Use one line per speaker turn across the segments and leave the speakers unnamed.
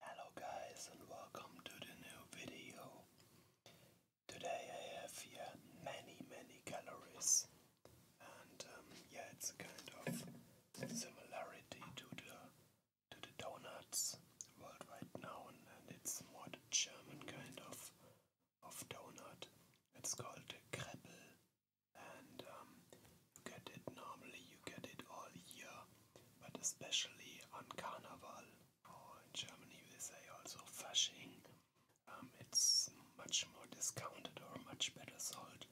Hello guys and welcome to the new video. Today I have here many many calories and um, yeah it's a kind of similarity to the to the donuts world right now and it's more the German kind of of donut. It's called the kreppel and um, get it normally, you get it all year, but especially on Carnival, or in Germany they say also Fasching, um, it's much more discounted or much better sold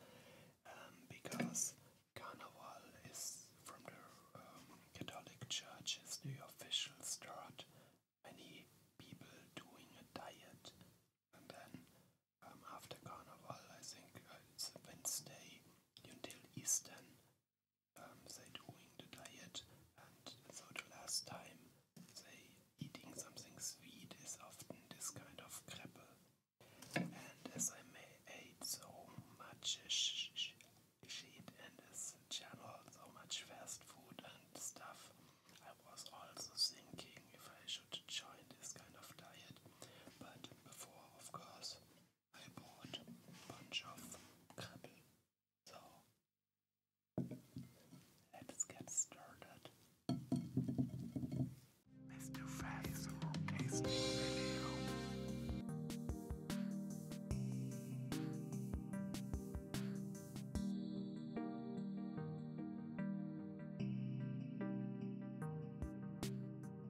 um, because Carnival is from the um, Catholic churches. is the official start. Many people doing a diet, and then um, after Carnival, I think uh, it's a Wednesday until Easter. they um, doing the diet, and so the last time they eating something sweet is often this kind of crepe. And as I may ate so much shit and this channel, so much fast food and stuff, I was also thinking if I should join this kind of diet. But before, of course, because I bought a bunch of crabble. So let's get started. Let's do fast tasting video.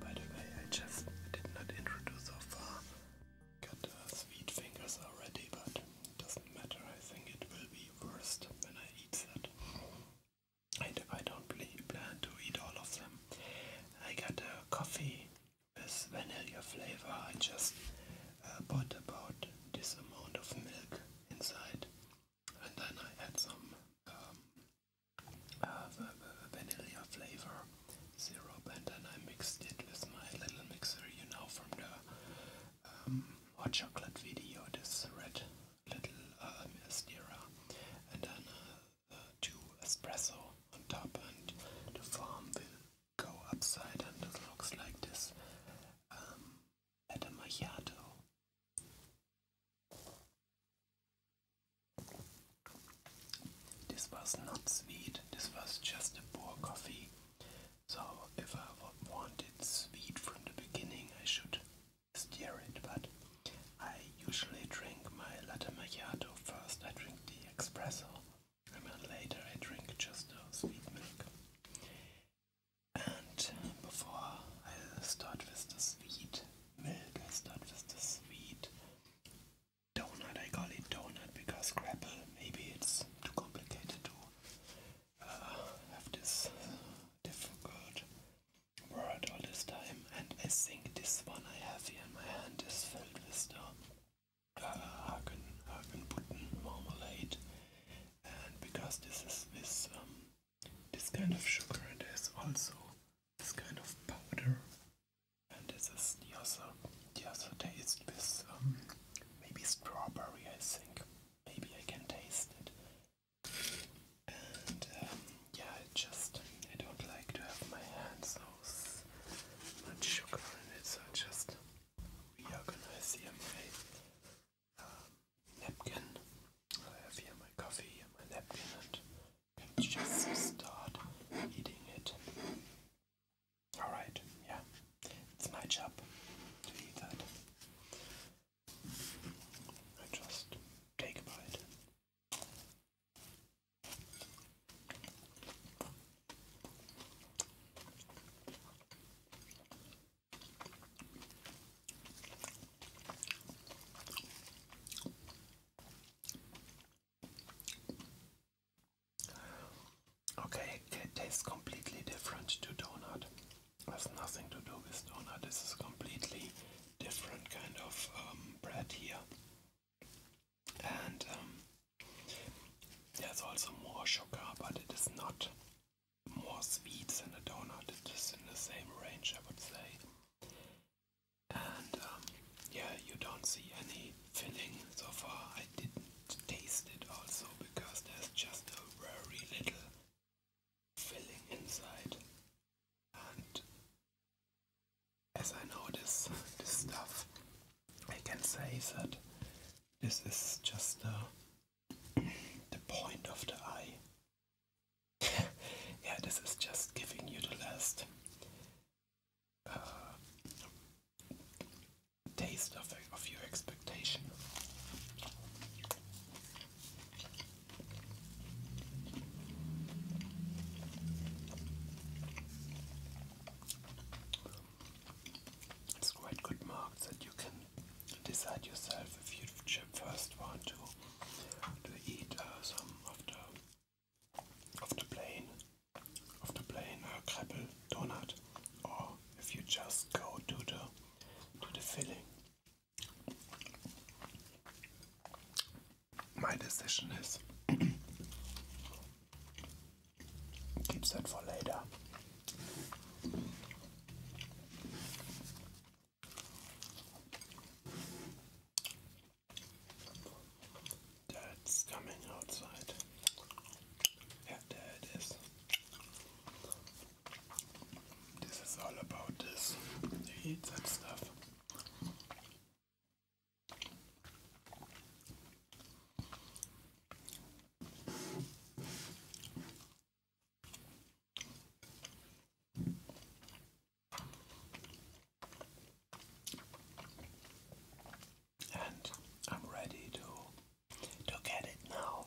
by the way, I just did not introduce so far. Got uh, sweet fingers already, but doesn't matter. I think it will be worst when I eat that. I, do, I don't plan to eat all of them. I got a coffee with vanilla flavor. I just uh, bought about this amount of milk inside and then I add some um, uh, vanilla flavor syrup, and then I mixed it with my little mixer, you know, from the um, hot chocolate video. This red little uh, and then uh, two espresso on top, and the foam will go upside, and it looks like this. at a macchiato this was not sweet, this was just a poor coffee. So, if I wanted sweet from the beginning, I should steer it. But I usually drink my latte macchiato first, I drink the espresso, and then later I drink just the sweet milk. And uh, before I start with the sweet milk, I start with the sweet donut. I call it donut because crapple, maybe it's too complicated to uh, have this difficult word all this time. And I think this one I have here in my hand is filled with the uh, Hagen, Hagen marmalade and because this is with um, this kind of sugar and there's also this kind of powder and this is the other, the other taste with um, maybe strawberry I think maybe I can taste it and um, yeah I just I don't like to have my hands so much sugar in it so gonna reorganize here my um, napkin. I have here my coffee and my napkin, and just start eating it. Alright, yeah, it's my job to eat that. I just take a bite. Okay, it tastes completely different to donut. Has nothing to do with donut. This is completely different kind of um, bread here, and um, there's also more sugar, but it is not more sweet than a donut. It is in the same range, I would say. And um, yeah, you don't see any filling so far. I didn't taste it also because there's just a very little filling inside. And as I know this, this stuff I can say that this is just the, the point of the eye. yeah, this is just giving you the last uh, taste of, of your expectation. It's quite good marks that you can decide yourself if you first want to eat uh, some of the of the plain of the plain uh, donut, or if you just go to the to the filling. My decision is Keep that for later. That's coming outside. Yeah, there it is. This is all about this. eat that stuff. And I'm ready to to get it now.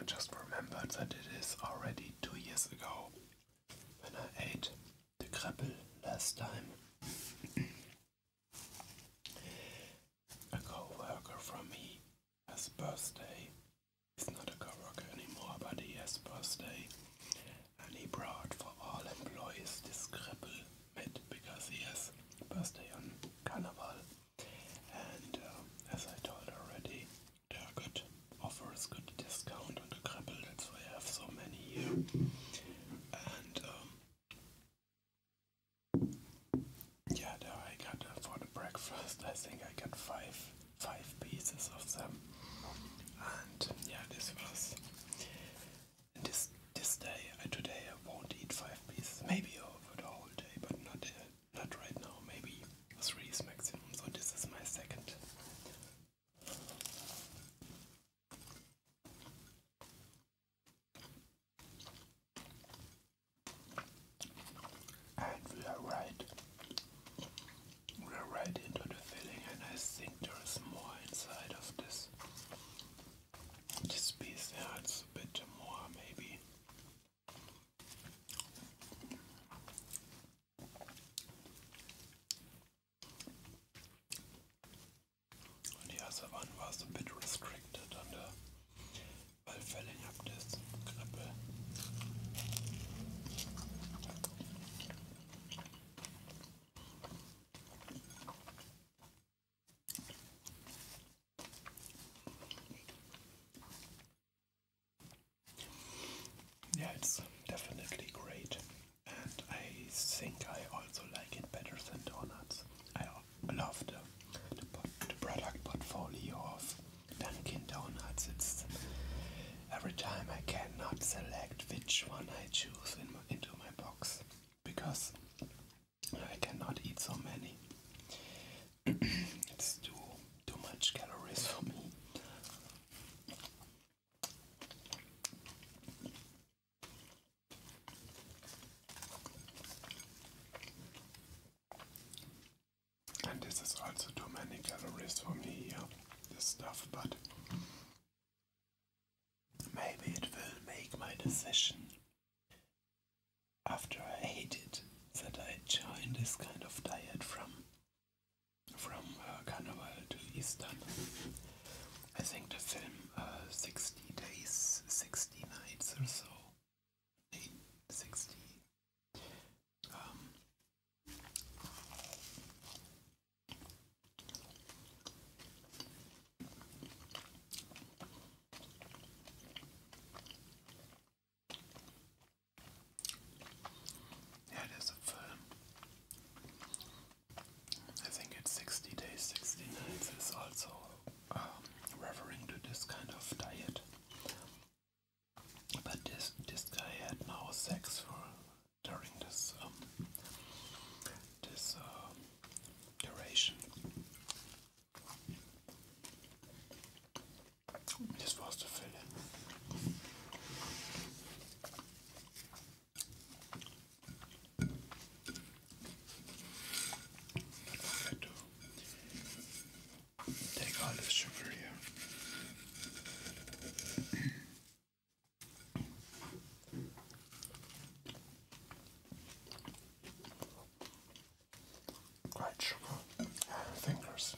I just remembered that it is already two years ago when I ate the crapple last time. a co from me has birthday. He's not a co anymore, but he has birthday. And he brought for all employees this crapple meat because he has birthday on carnival. And uh, as I told already, they're good offers, good discount on the crabble. That's why I have so many here. And um, yeah, I got uh, for the breakfast. I think I got five five pieces of them. And yeah, this was this this day. Uh, today I won't eat five pieces. Maybe over the whole day, but not uh, not right now, maybe three is maximum, so this is my second. And we are right. We are right into the filling and I think there is more inside of this. This piece, yeah, a bit more maybe. Und die erste Wand war so ein bit restricted an der Wallfälle ab des Krippe. Yeah, it's definitely great, and I think I also like it better than donuts. I love the, the, the product portfolio of Dunkin' Donuts. It's every time I cannot select which one I choose in into my box because I cannot eat so many it's too too much calories for me. And this is also too many calories for me here, this stuff, but maybe it will make my decision after I hated that I joined this kind of diet from from Carnival to Easter. I think the film uh, 60 Days, 60 Nights or so, 60, um, yeah, it is a I think it's 60 days, 60 nights is also um, referring to this kind of diet. But this this guy had no sex for during this um, this um, duration, just for us to fill take all the sugar here quite sugar fingers.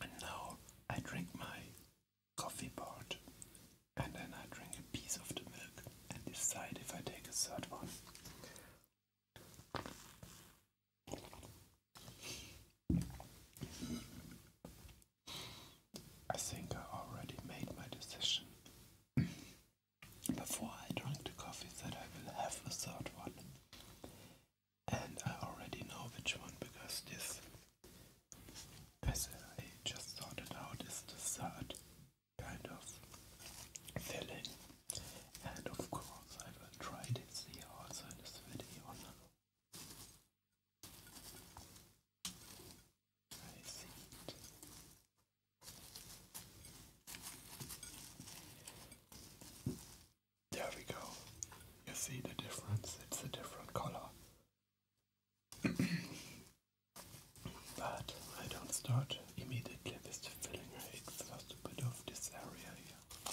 And now I drink my coffee part and then I drink a piece of the milk and decide if I take a third one. I think I already made my decision. Before I drink the coffee, that I will have a third one. And I already know which one because this, as I just thought out, is the third kind of filling. And of course, I will try this here also in this video. There we go. You see the difference? It's a different color. but I don't start immediately with the filling. I first a bit of this area here.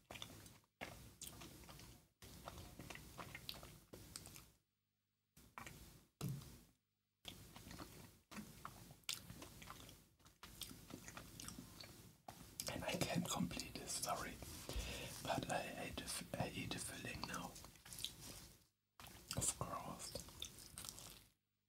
And I can't complete this, story, but I, hate the filling now, of course.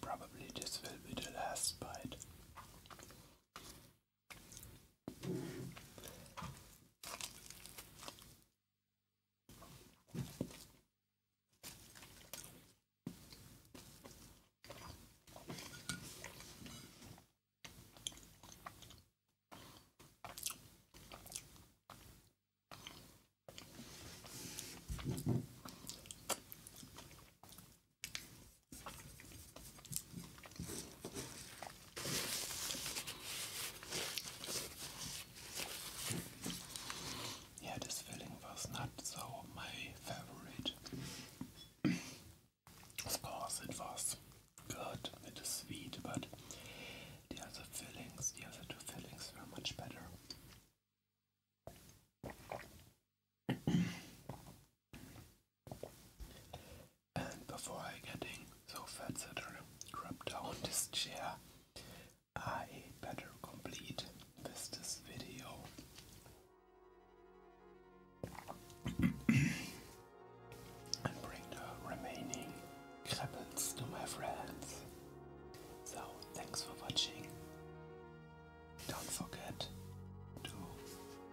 Probably this will be the last bite. Yeah, this filling was not so my favorite. of course, it was good, it is sweet, but the other fillings, the other two fillings were much better and before I getting so fat that I drop down this chair, I better complete this video. and bring the remaining crabbles to my friends. So, thanks for watching. Don't forget to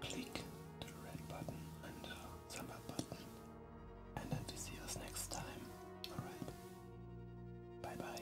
click the red button and the thumb up button. And then we see us next time. Alright. Bye bye.